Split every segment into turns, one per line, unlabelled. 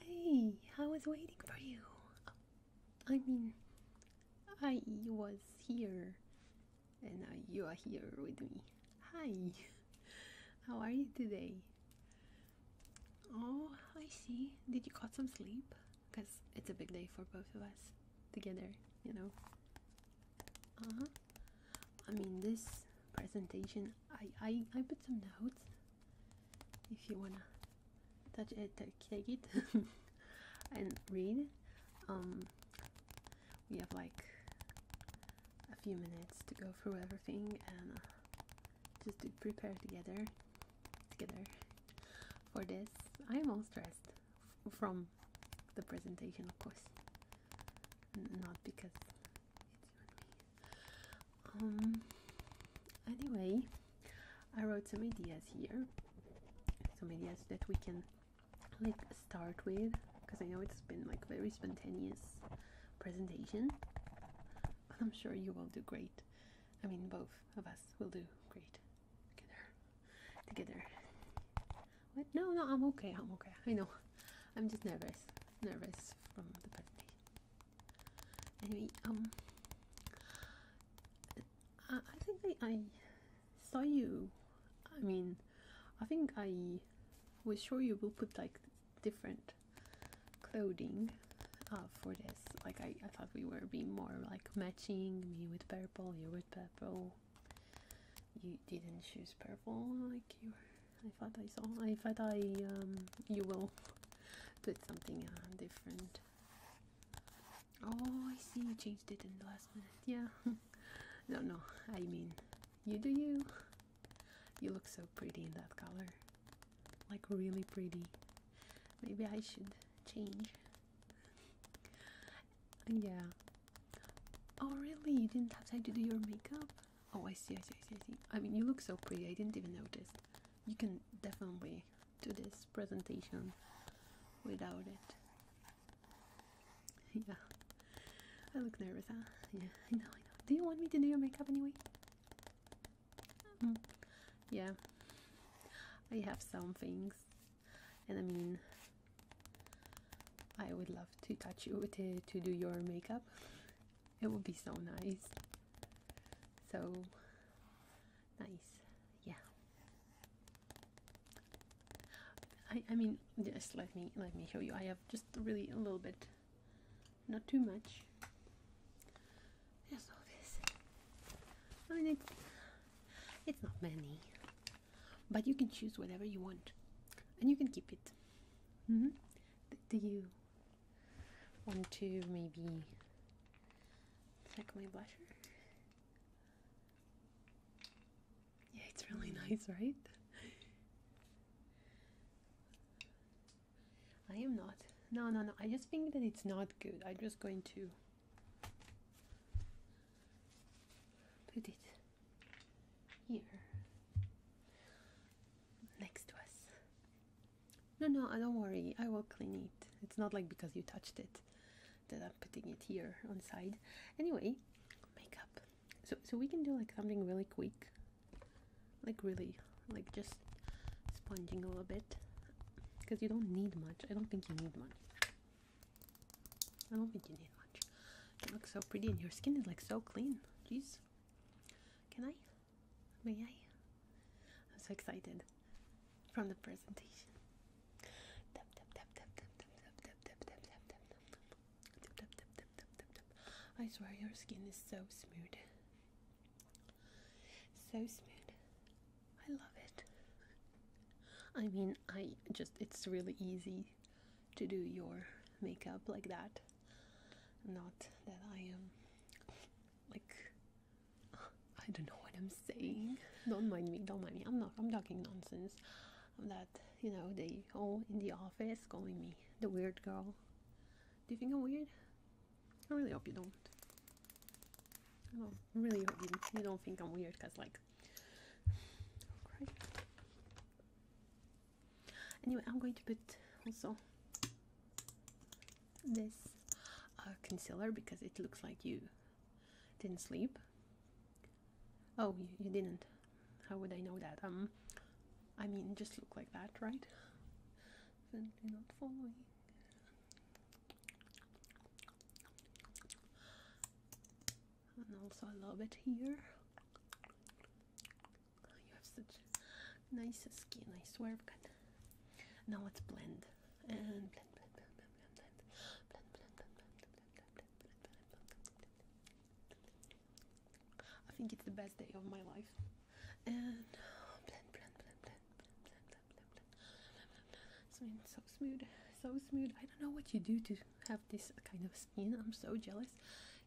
Hey, I was waiting for you. I mean, I was here, and now you are here with me. Hi, how are you today? Oh, I see. Did you got some sleep? Because it's a big day for both of us together, you know. Uh huh. I mean, this presentation, I, I, I put some notes. If you wanna touch it, take it, and read. Um, we have like a few minutes to go through everything and uh, just to prepare together, together for this. I am all stressed from the presentation, of course, not because um, anyway, I wrote some ideas here, some ideas that we can like start with because I know it's been like very spontaneous presentation, but I'm sure you will do great. I mean, both of us will do great together together what no no i'm okay i'm okay i know i'm just nervous nervous from the birthday anyway um i, think I, saw you i mean i think i was sure you will put like different clothing uh, for this like I, I thought we were being more like matching me with purple you with purple you didn't choose purple like you. I thought I saw. I thought I um you will put something uh, different. Oh, I see. You changed it in the last minute. Yeah. no, no. I mean, you do you. You look so pretty in that color. Like really pretty. Maybe I should change yeah. Oh really? You didn't have time to do your makeup? Oh, I see, I see, I see, I mean, you look so pretty. I didn't even notice. You can definitely do this presentation without it. Yeah. I look nervous, huh? Yeah, I know, I know. Do you want me to do your makeup anyway? Hmm. Yeah. I have some things and I mean, I would love to touch you to, do your makeup, it would be so nice. So nice, yeah. I, I mean, just let me let me show you. I have just really a little bit, not too much. Just all this. I mean, it's not many, but you can choose whatever you want, and you can keep it. Mm-hmm. Do you want to maybe check my blusher? Yeah, it's really mm. nice, right? I am not. No, no, no. I just think that it's not good. I'm just going to Put it here next to us. No, no, don't worry. I will clean it. It's not like because you touched it that I'm putting it here on side. Anyway, makeup. So, so we can do like something really quick, like really, like just sponging a little bit because you don't need much. I don't think you need much. I don't think you need much. You look so pretty, and your skin is like so clean. Jeez. Can I? May I? I'm so excited from the presentation. I swear your skin is so smooth. So smooth. I love it. I mean, I just, it's really easy to do your makeup like that. Not that I am like, I don't know what I'm saying. Don't mind me, don't mind me. I'm not, I'm talking nonsense. That, you know, they all in the office calling me the weird girl. Do you think I'm weird? I really hope you don't. I really hope you, you don't think I'm weird because, like, oh, Anyway, I'm going to put also this uh, concealer because it looks like you didn't sleep. Oh, you, didn't. How would I know that? Um, I mean, just look like that, right? Then not follow and also I love it here. You have such nice skin, I swear. God. Now let's blend and blend, blend, blend, blend, blend, blend, blend, blend, blend, blend, blend, blend, blend, blend. I think it's the best day of my life and oh, blend, blend, blend, blend, blend, blend, blend, blend, blend. it so smooth, so smooth. I don't know what you do to have this kind of skin. I'm so jealous.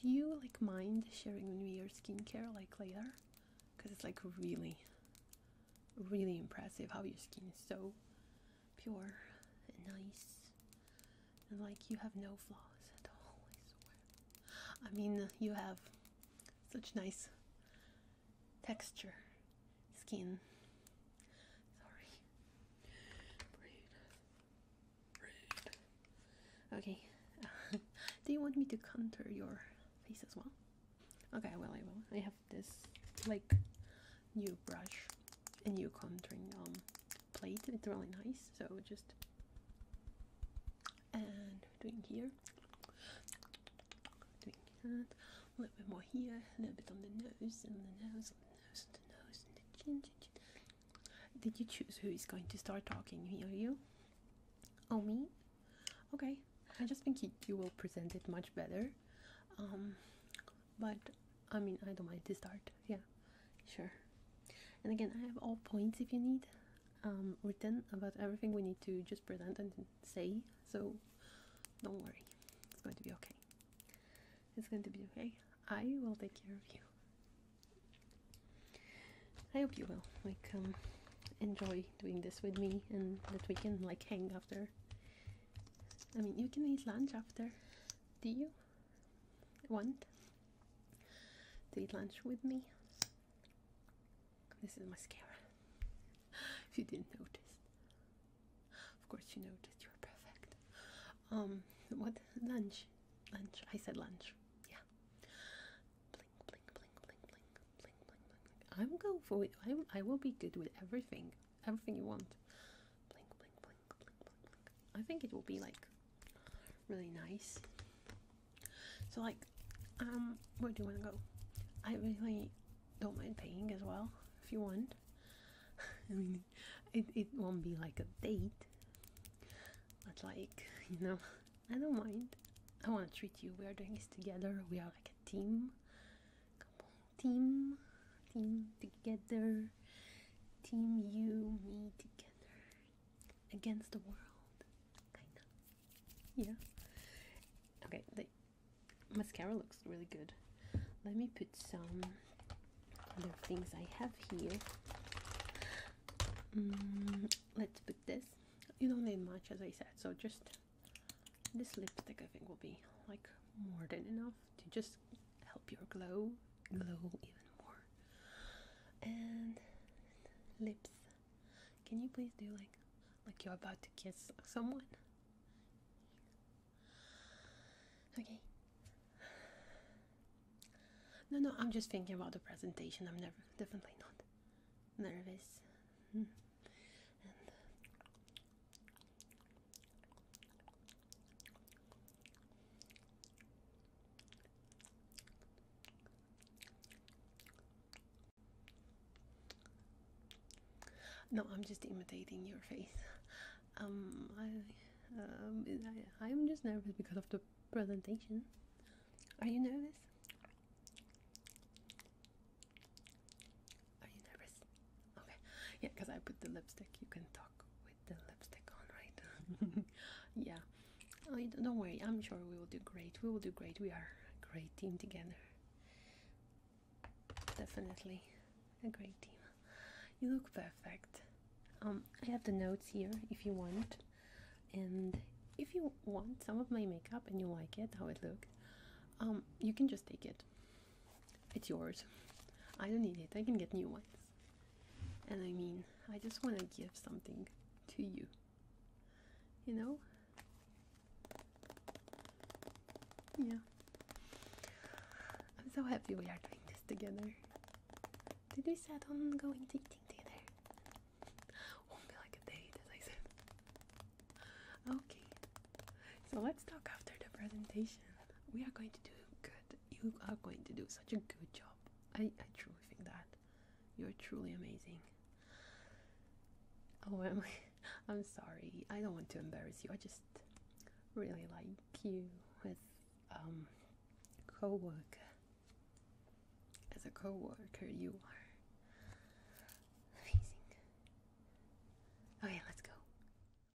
Do you like mind sharing with me your skincare like later? Because it's like really, really impressive how your skin is so pure and nice, and like you have no flaws at all. I swear. I mean, you have such nice texture, skin. Sorry. Okay. do you want me to contour your face as well? Okay, well I will. I have this like new brush and new contouring um plate. It's really nice. So just and doing here, doing that, a little bit more here, a little bit on the nose, and the nose, on the nose, on the nose, and the chin, chin, chin. Did you choose who is going to start talking here? You? Oh, me? Okay, I just think you, will present it much better. Um, but I mean, I don't mind to start. Yeah, sure. And again, I have all points if you need. Um, written about everything we need to just present and say, so don't worry, it's going to be okay. It's going to be okay. I will take care of you. I hope you will. Like, um, enjoy doing this with me, and that we can like hang after. I mean, you can eat lunch after. Do you want to eat lunch with me? This is mascara. if you didn't notice, of course you noticed. You're perfect. Um, what lunch? Lunch. I said lunch. Yeah. Blink, blink, blink, blink, blink, blink, blink, I'm go for i I will be good with everything. Everything you want. Blink, blink, blink, blink, blink, blink. I think it will be like really nice. So like, um, where do you want to go? I really don't mind paying as well if you want. I mean, it it won't be like a date, but like you know, I don't mind. I want to treat you. We are doing this together. We are like a team. Come on, team, team together. Team you, me together against the world, kind of. Yeah. Okay, the mascara looks really good. Let me put some other things I have here. Mm, let's put this. You don't need much, as I said, so just this lipstick I think will be like more than enough to just help your glow glow even more. And lips. Can you please do like like you're about to kiss someone? Okay. No, no, I'm just thinking about the presentation. I'm never definitely not nervous. Hmm. No, I'm just imitating your face. Um, I, um, I, I'm just nervous because of the presentation. Are you nervous? Are you nervous? Okay. Yeah, because I put the lipstick. You can talk the lipstick on, right? yeah. Oh, don't worry. I'm sure we will do great. We will do great. We are a great team together. Definitely a great team. You look perfect. Um, I have the notes here if you want. And if you want some of my makeup and you like it, how it looked, um, you can just take it. It's yours. I don't need it. I can get new ones. And I mean, I just want to give something to you. You know? Yeah. I'm so happy we are doing this together. Did we set on going dating together? Won't be like a date, as I said. Okay. So let's talk after the presentation. We are going to do good you are going to do such a good job. I, I truly think that. You're truly amazing. Oh, am I? am sorry. I don't want to embarrass you. I just really like you as um co-worker. As a co-worker, you are amazing. Okay, let's go.